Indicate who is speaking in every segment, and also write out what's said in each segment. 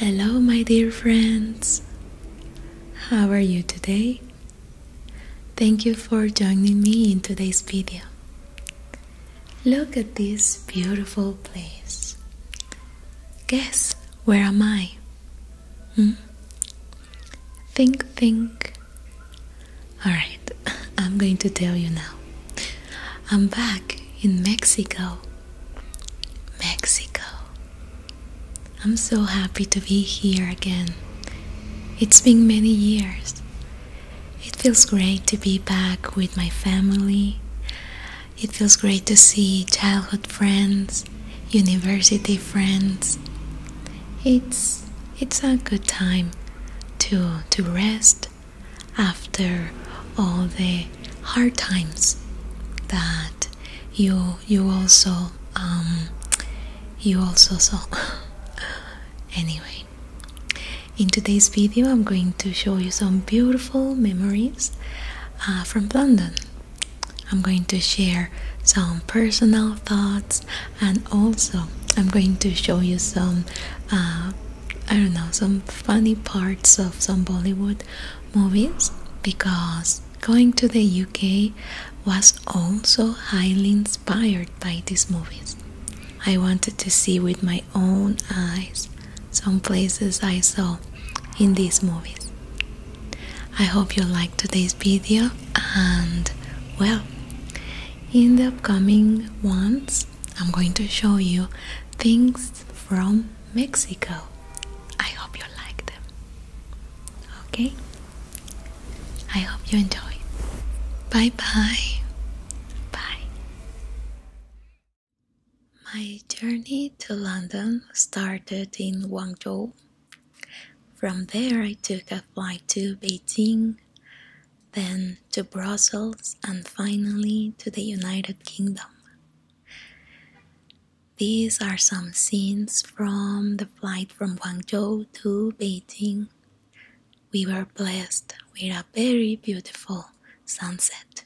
Speaker 1: Hello, my dear friends. How are you today? Thank you for joining me in today's video. Look at this beautiful place. Guess where am I? Hmm? Think, think. Alright, I'm going to tell you now. I'm back in Mexico. Mexico. I'm so happy to be here again. It's been many years. It feels great to be back with my family. It feels great to see childhood friends university friends. It's it's a good time to to rest after all the hard times that you you also um, you also saw anyway in today's video i'm going to show you some beautiful memories uh, from london I'm going to share some personal thoughts and also I'm going to show you some uh, I don't know some funny parts of some Bollywood movies because going to the UK was also highly inspired by these movies. I wanted to see with my own eyes some places I saw in these movies. I hope you liked today's video and well in the upcoming ones I'm going to show you things from Mexico. I hope you like them. Okay? I hope you enjoy. Bye bye. Bye. My journey to London started in Guangzhou from there, I took a flight to Beijing, then to Brussels, and finally to the United Kingdom. These are some scenes from the flight from Guangzhou to Beijing. We were blessed with a very beautiful sunset.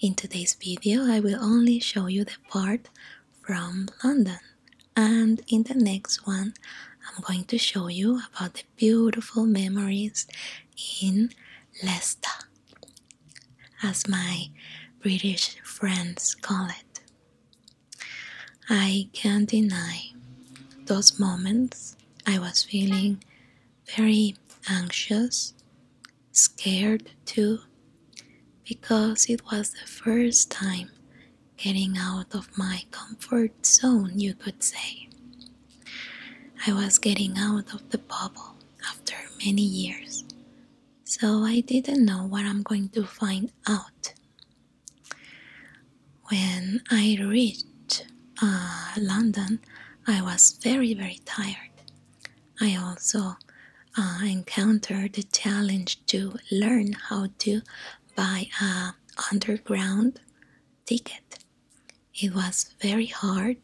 Speaker 1: In today's video, I will only show you the part from London. And in the next one, I'm going to show you about the beautiful memories in Leicester, as my British friends call it. I can't deny those moments I was feeling very anxious scared too because it was the first time getting out of my comfort zone, you could say. I was getting out of the bubble after many years, so I didn't know what I'm going to find out. When I reached uh, London, I was very, very tired. I also uh, encountered the challenge to learn how to buy a underground ticket. It was very hard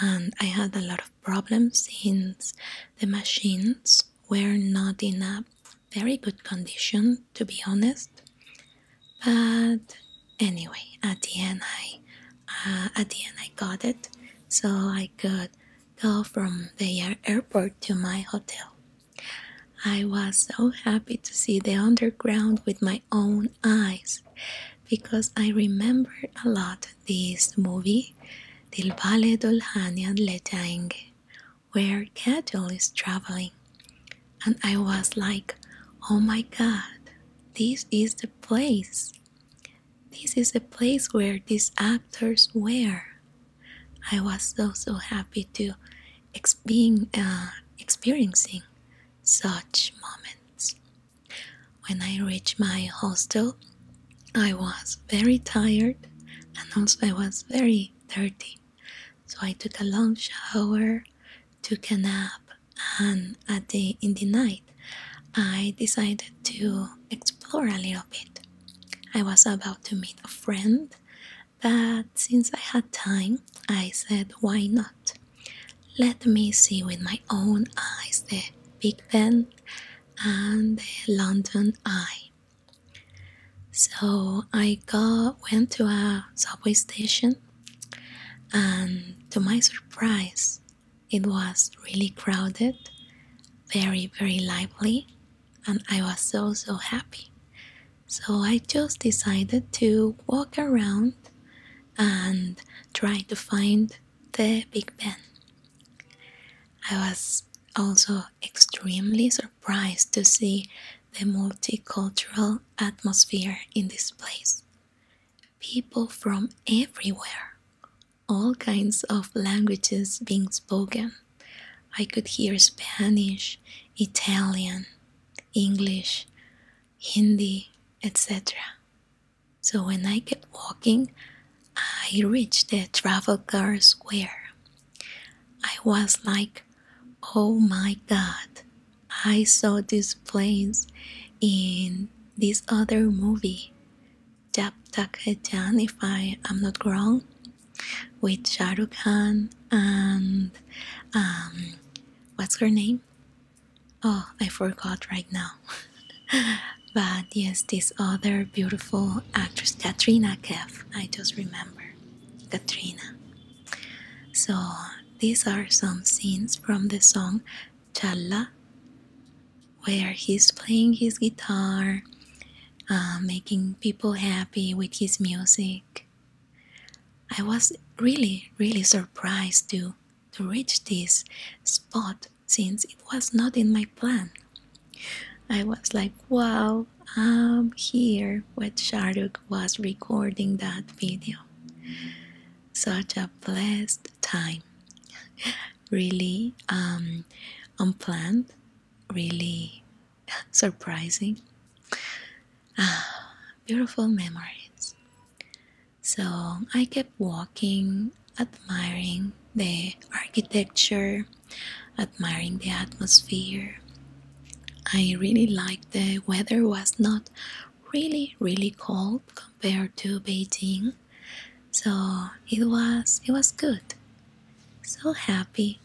Speaker 1: and I had a lot of problems since the machines were not in a very good condition to be honest. But anyway, at the end I uh, at the end I got it so I could Go from the airport to my hotel. I was so happy to see the underground with my own eyes because I remember a lot this movie, Del Valle d'Olhania Letaenge, where cattle is traveling. And I was like, oh my god, this is the place. This is a place where these actors were. I was so so happy to being uh, experiencing such moments. When I reached my hostel, I was very tired and also I was very dirty. So I took a long shower, took a nap, and at the in the night I decided to explore a little bit. I was about to meet a friend, but since I had time, I said, why not? Let me see with my own eyes the Big Ben and the London Eye. So I went to a subway station, and to my surprise, it was really crowded, very, very lively, and I was so, so happy. So I just decided to walk around and try to find the Big Ben. I was also extremely surprised to see the multicultural atmosphere in this place. People from everywhere, all kinds of languages being spoken. I could hear Spanish, Italian, English, Hindi, etc. So when I kept walking, I reached the Trafalgar Square. I was like, oh my god, I saw this place in this other movie. Jab Tak if I am not wrong, with Sharukhan and um, what's her name? Oh, I forgot right now. but yes, this other beautiful actress, Katrina Kef, I just remember. Katrina. So, these are some scenes from the song Challa where he's playing his guitar, uh, making people happy with his music. I was really, really surprised to to reach this spot since it was not in my plan. I was like, wow, I'm here where Sharduk was recording that video such a blessed time. really um, unplanned, really surprising. Ah, beautiful memories. So I kept walking, admiring the architecture, admiring the atmosphere. I really liked the weather was not really really cold compared to Beijing. So it was it was good. So happy,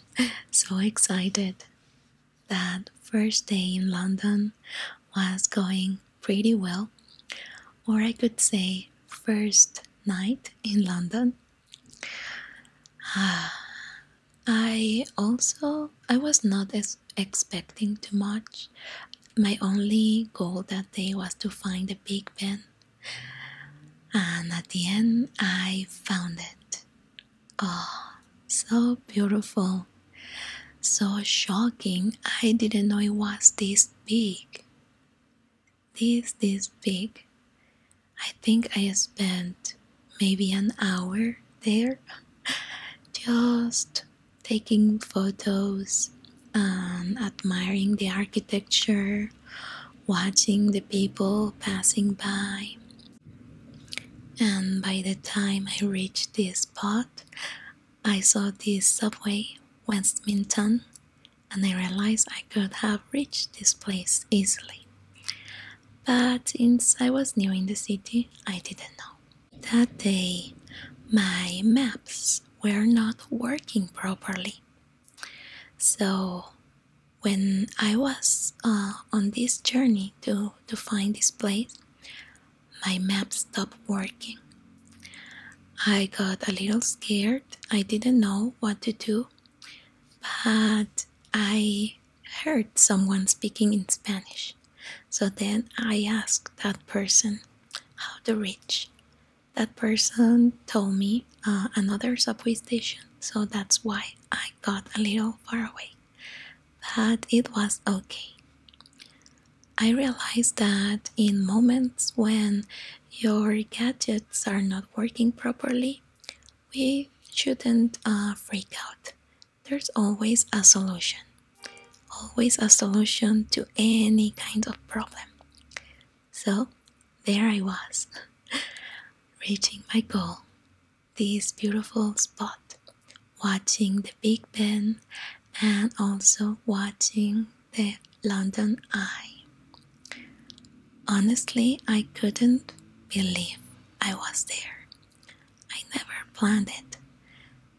Speaker 1: so excited. That first day in London was going pretty well, or I could say first night in London. I also I was not as expecting too much my only goal that day was to find the Big pen, and at the end, I found it. Oh, so beautiful, so shocking. I didn't know it was this big. This, this big. I think I spent maybe an hour there just taking photos and um, admiring the architecture, watching the people passing by. And by the time I reached this spot, I saw this subway, Westminton, and I realized I could have reached this place easily. But since I was new in the city, I didn't know. That day, my maps were not working properly. So, when I was uh, on this journey to, to find this place, my map stopped working. I got a little scared. I didn't know what to do, but I heard someone speaking in Spanish. So then I asked that person how to reach. That person told me uh, another subway station, so that's why I got a little far away. But it was okay. I realized that in moments when your gadgets are not working properly, we shouldn't uh, freak out. There's always a solution always a solution to any kind of problem. So there I was, reaching my goal, this beautiful spot, watching the Big Ben and also watching the London Eye. Honestly, I couldn't believe I was there. I never planned it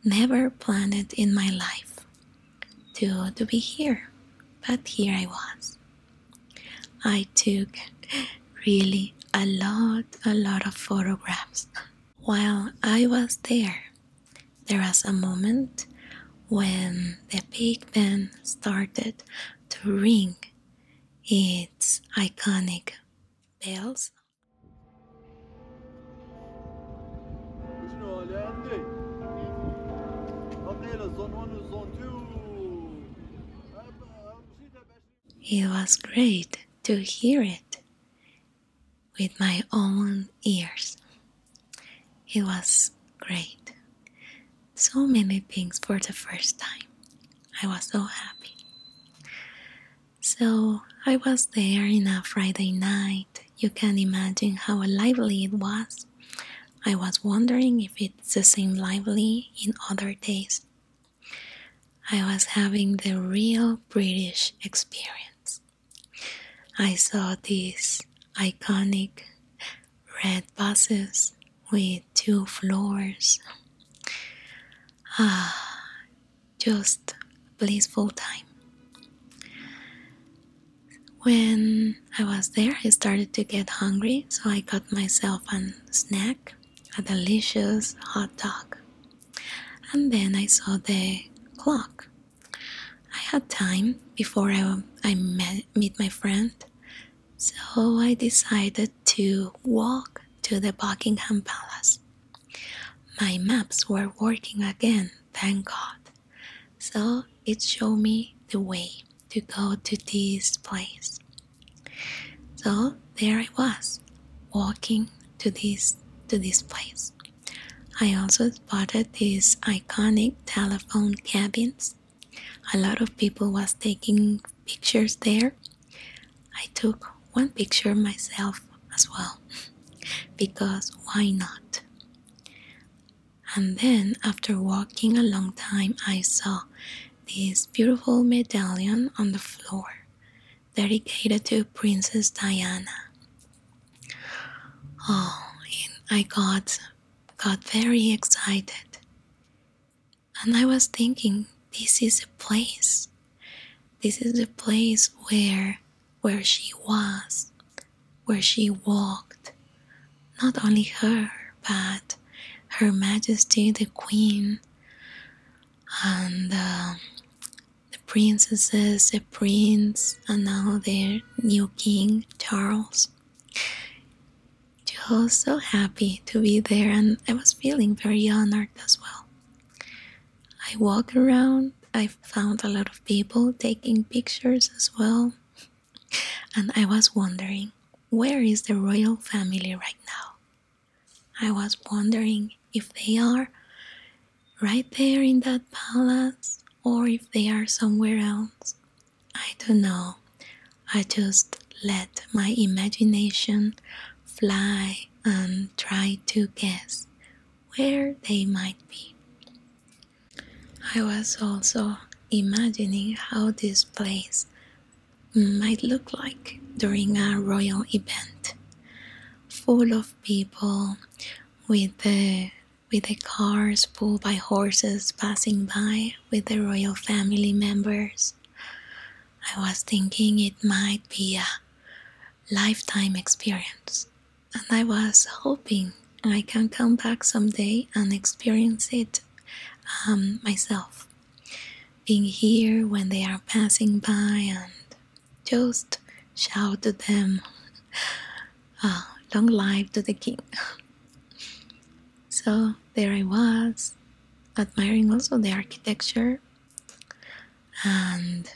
Speaker 1: never planned in my life to, to be here, but here I was. I took really a lot, a lot of photographs. While I was there, there was a moment when the big band started to ring its iconic bells. It was great to hear it with my own ears. It was great. So many things for the first time. I was so happy. So I was there in a Friday night. You can imagine how lively it was. I was wondering if it's the same lively in other days. I was having the real British experience. I saw these iconic red buses with two floors. Ah, just blissful time. When I was there, I started to get hungry, so I got myself a snack, a delicious hot dog. And then I saw the clock. I had time before I, I met, meet my friend, so I decided to walk to the Buckingham Palace. My maps were working again, thank God. So it showed me the way to go to this place. So there I was, walking to this to this place. I also spotted these iconic telephone cabins. A lot of people was taking pictures there. I took one picture myself as well, because why not? And then, after walking a long time, I saw this beautiful medallion on the floor dedicated to Princess Diana. Oh, I got, got very excited. And I was thinking, this is a place this is the place where where she was, where she walked. Not only her, but her Majesty the Queen and um, the princesses, the prince, and now their new king, Charles. Just so happy to be there, and I was feeling very honored as well. I walked around, I found a lot of people taking pictures as well, and I was wondering where is the royal family right now? I was wondering if they are right there in that palace or if they are somewhere else. I don't know. I just let my imagination fly and try to guess where they might be. I was also imagining how this place might look like during a royal event, full of people with the with the cars pulled by horses passing by with the royal family members I was thinking it might be a lifetime experience, and I was hoping I can come back someday and experience it um, myself. Being here when they are passing by and just shout to them, ah, Long live to the king! so there I was, admiring also the architecture and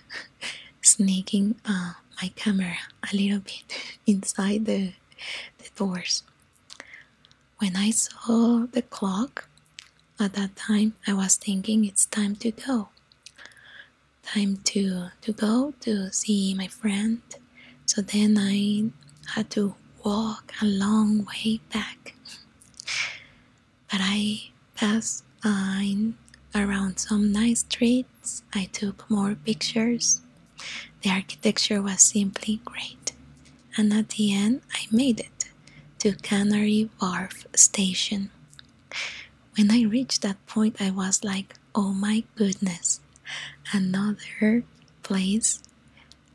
Speaker 1: sneaking uh, my camera a little bit inside the, the doors. When I saw the clock at that time, I was thinking it's time to go. Time to, to go to see my friend. So then I had to walk a long way back. But I passed by around some nice streets. I took more pictures. The architecture was simply great. And at the end, I made it to Canary Wharf Station. When I reached that point, I was like, oh my goodness, another place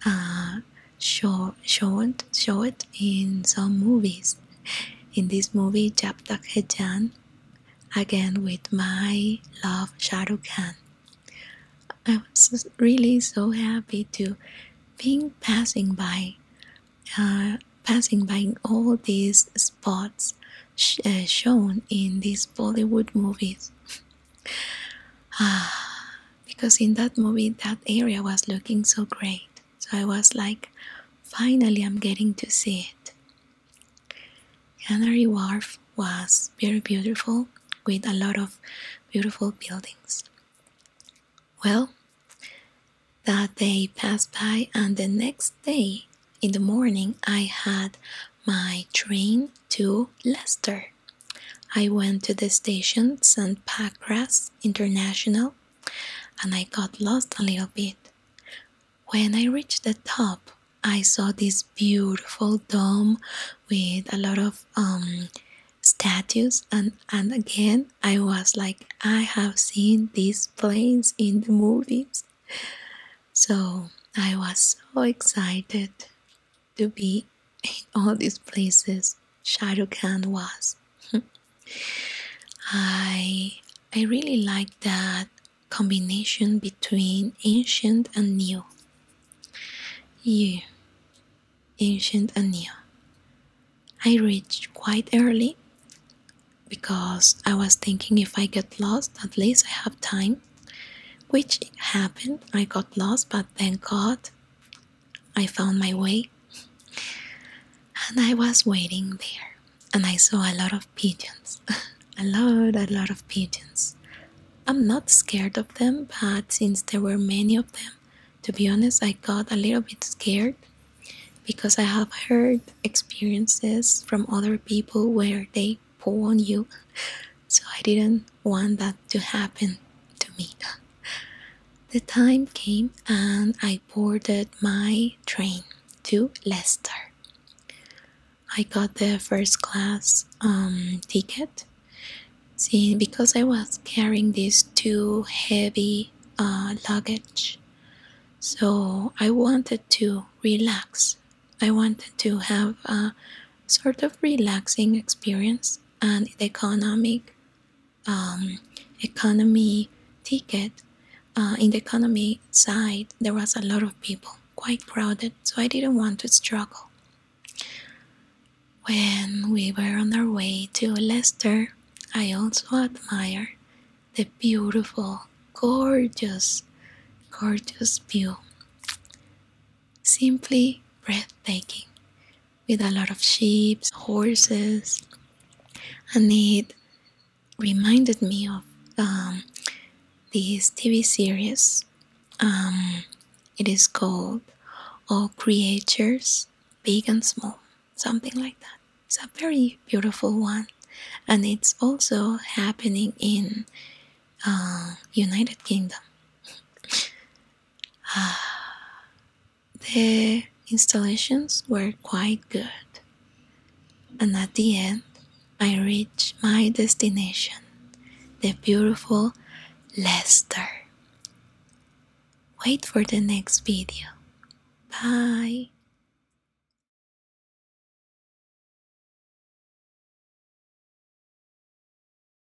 Speaker 1: uh, showed, showed in some movies. In this movie, Jab Tak Japtak Hejan, again with my love Shahrukh I was really so happy to being passing by, uh, passing by all these spots uh, shown in these Bollywood movies. ah, because in that movie that area was looking so great. So I was like, finally, I'm getting to see it. Canary Wharf was very beautiful with a lot of beautiful buildings. Well, that day passed by, and the next day in the morning, I had my train to Leicester. I went to the station St. Pancras International and I got lost a little bit. When I reached the top, I saw this beautiful dome with a lot of um, statues, and, and again, I was like, I have seen this place in the movies. So I was so excited to be in all these places Shahrukh Khan was. I I really like that combination between ancient and new. Yeah, ancient and new. I reached quite early because I was thinking if I get lost, at least I have time. Which happened, I got lost, but thank God I found my way and I was waiting there and I saw a lot of pigeons. a lot, a lot of pigeons. I'm not scared of them, but since there were many of them, to be honest, I got a little bit scared because I have heard experiences from other people where they pull on you. So I didn't want that to happen to me. The time came and I boarded my train to Leicester. I got the first class um, ticket See, because I was carrying these two heavy uh, luggage. So I wanted to relax. I wanted to have a sort of relaxing experience, and the economic um, economy ticket, uh, in the economy side, there was a lot of people, quite crowded, so I didn't want to struggle. When we were on our way to Leicester, I also admired the beautiful, gorgeous, gorgeous view. Simply breathtaking with a lot of sheep, horses, and it reminded me of um, this TV series. Um, it is called All Creatures, Big and Small, something like that. It's a very beautiful one, and it's also happening in uh, United Kingdom. Uh, the installations were quite good, and at the end, I reached my destination the beautiful Leicester. Wait for the next video. Bye.